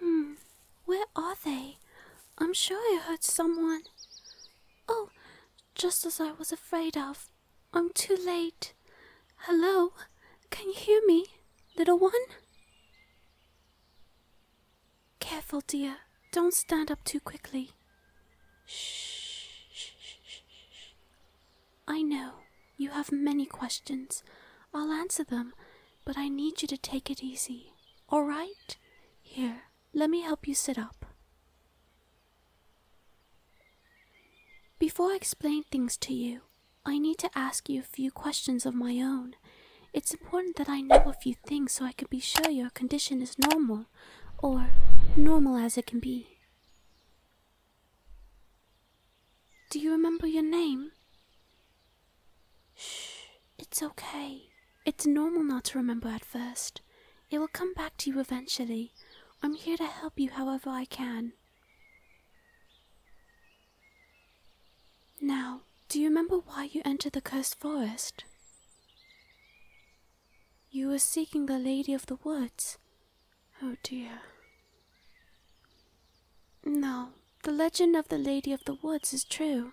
Hmm, where are they? I'm sure I heard someone. Oh, just as I was afraid of. I'm too late. Hello, can you hear me, little one? Careful, dear. Don't stand up too quickly. Shh. I know you have many questions. I'll answer them, but I need you to take it easy. All right? Here, let me help you sit up. Before I explain things to you, I need to ask you a few questions of my own it's important that I know a few things so I can be sure your condition is normal, or normal as it can be. Do you remember your name? Shh, it's okay. It's normal not to remember at first. It will come back to you eventually. I'm here to help you however I can. Now, do you remember why you entered the cursed forest? You were seeking the Lady of the Woods. Oh dear. No, the legend of the Lady of the Woods is true.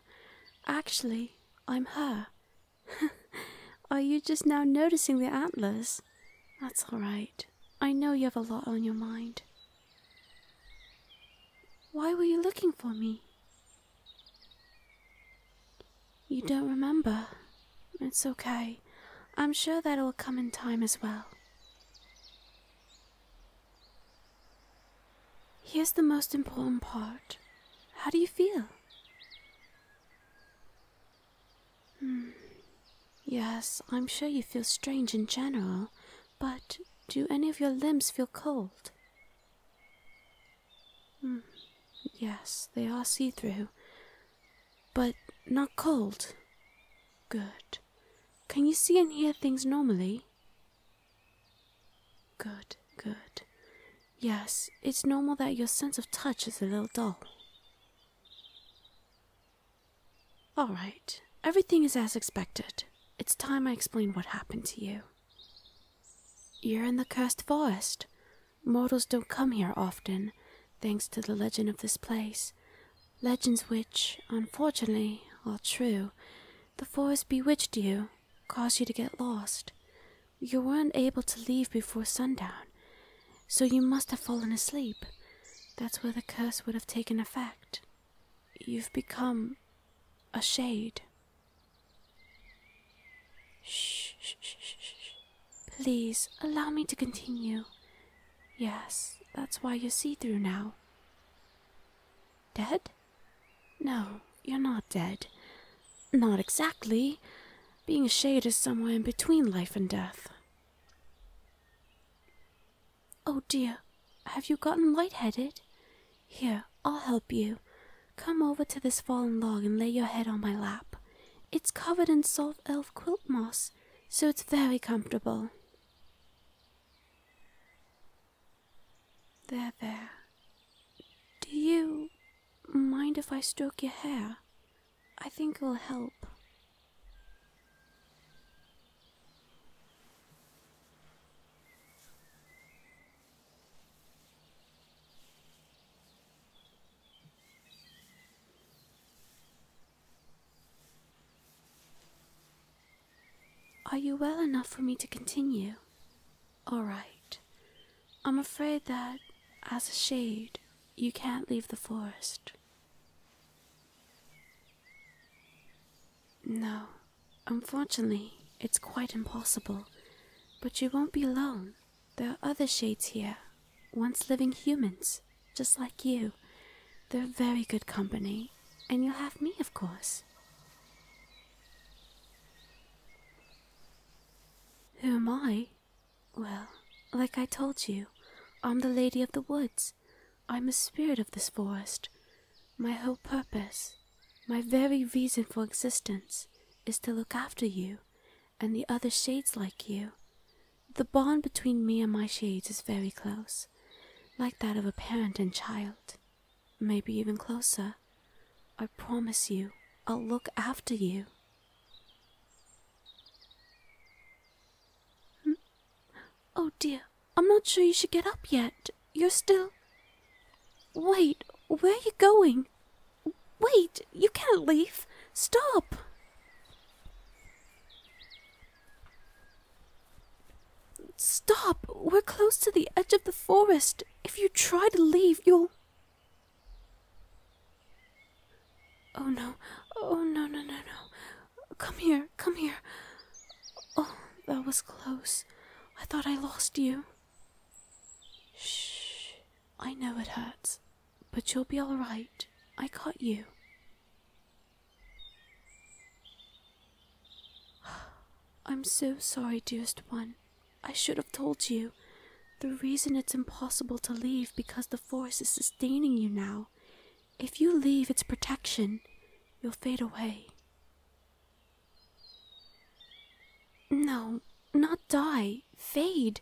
Actually, I'm her. Are you just now noticing the antlers? That's all right. I know you have a lot on your mind. Why were you looking for me? You don't remember? It's okay. I'm sure that'll come in time as well. Here's the most important part. How do you feel? Hmm. Yes, I'm sure you feel strange in general, but do any of your limbs feel cold? Mm, yes, they are see through, but not cold. Good. Can you see and hear things normally? Good, good. Yes, it's normal that your sense of touch is a little dull. All right, everything is as expected. It's time I explain what happened to you. You're in the cursed forest. Mortals don't come here often, thanks to the legend of this place. Legends which, unfortunately, are true. The forest bewitched you, caused you to get lost. You weren't able to leave before sundown, so you must have fallen asleep. That's where the curse would have taken effect. You've become a shade. Shh, shh, shh, shh. Please allow me to continue. Yes, that's why you see through now. Dead? No, you're not dead. Not exactly. Being a shade is somewhere in between life and death. Oh dear, have you gotten light-headed? Here, I'll help you. Come over to this fallen log and lay your head on my lap. It's covered in soft elf quilt moss, so it's very comfortable. There, there. Do you mind if I stroke your hair? I think it will help. Are you well enough for me to continue? All right. I'm afraid that, as a shade, you can't leave the forest. No, unfortunately, it's quite impossible. But you won't be alone. There are other shades here, once living humans, just like you. They're very good company, and you'll have me, of course. Who am I? Well, like I told you, I'm the Lady of the Woods. I'm a spirit of this forest. My whole purpose, my very reason for existence, is to look after you and the other shades like you. The bond between me and my shades is very close, like that of a parent and child, maybe even closer. I promise you, I'll look after you. Hmm? Oh dear, I'm not sure you should get up yet. You're still. Wait, where are you going? Wait, you can't leave. Stop! Stop! We're close to the edge of the forest. If you try to leave, you'll. Oh no, oh no, no, no, no. Come here come here. Oh, that was close. I thought I lost you. Shh. I know it hurts, but you'll be all right. I caught you. I'm so sorry, dearest one. I should have told you. The reason it's impossible to leave because the forest is sustaining you now. If you leave its protection, you'll fade away. No, not die. Fade.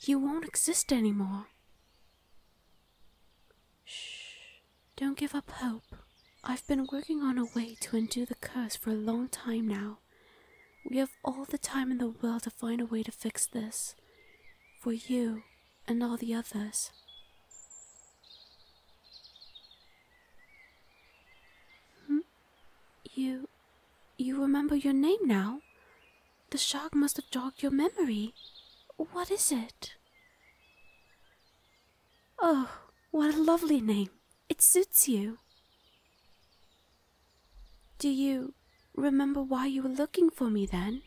You won't exist anymore. Shh. Don't give up hope. I've been working on a way to undo the curse for a long time now. We have all the time in the world to find a way to fix this. For you and all the others. Hmm? You. you remember your name now? The shark must have jogged your memory. What is it? Oh, what a lovely name. It suits you. Do you remember why you were looking for me then?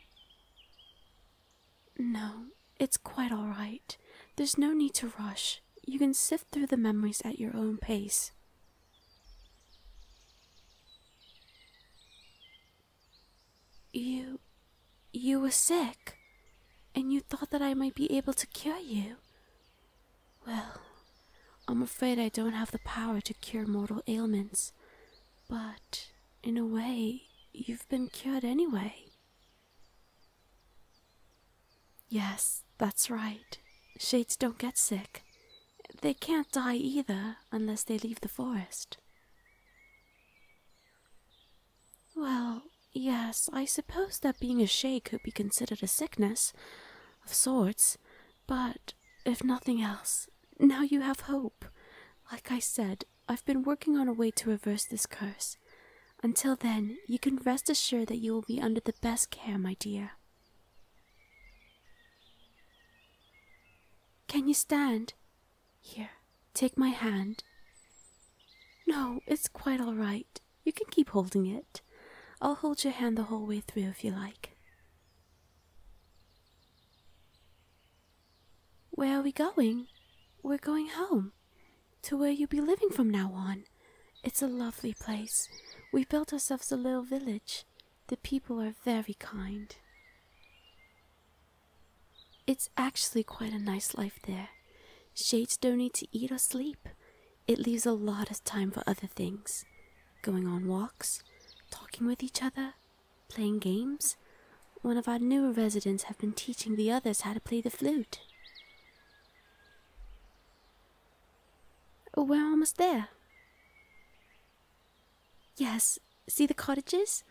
No, it's quite all right. There's no need to rush. You can sift through the memories at your own pace. You. you were sick, and you thought that I might be able to cure you. Well, I'm afraid I don't have the power to cure mortal ailments, but in a way, you've been cured anyway. Yes, that's right. Shades don't get sick. They can't die either unless they leave the forest. Well, yes, I suppose that being a shade could be considered a sickness, of sorts, but, if nothing else, now you have hope. Like I said, I've been working on a way to reverse this curse. Until then, you can rest assured that you will be under the best care, my dear. Can you stand? Here, take my hand. No, it's quite all right. You can keep holding it. I'll hold your hand the whole way through if you like. Where are we going? We're going home. To where you'll be living from now on. It's a lovely place. We built ourselves a little village. The people are very kind. It's actually quite a nice life there. Shades don't need to eat or sleep. It leaves a lot of time for other things going on walks, talking with each other, playing games. One of our newer residents have been teaching the others how to play the flute. Oh, we're almost there. Yes, see the cottages?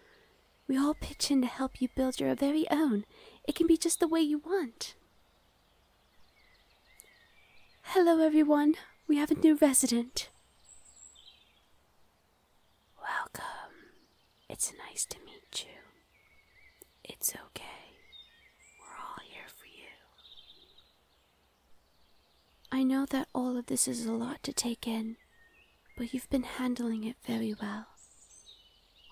We all pitch in to help you build your very own. It can be just the way you want. Hello, everyone. We have a new resident. Welcome. It's nice to meet you. It's okay. We're all here for you. I know that all of this is a lot to take in, but you've been handling it very well.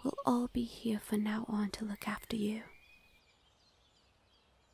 We'll all be here from now on to look after you.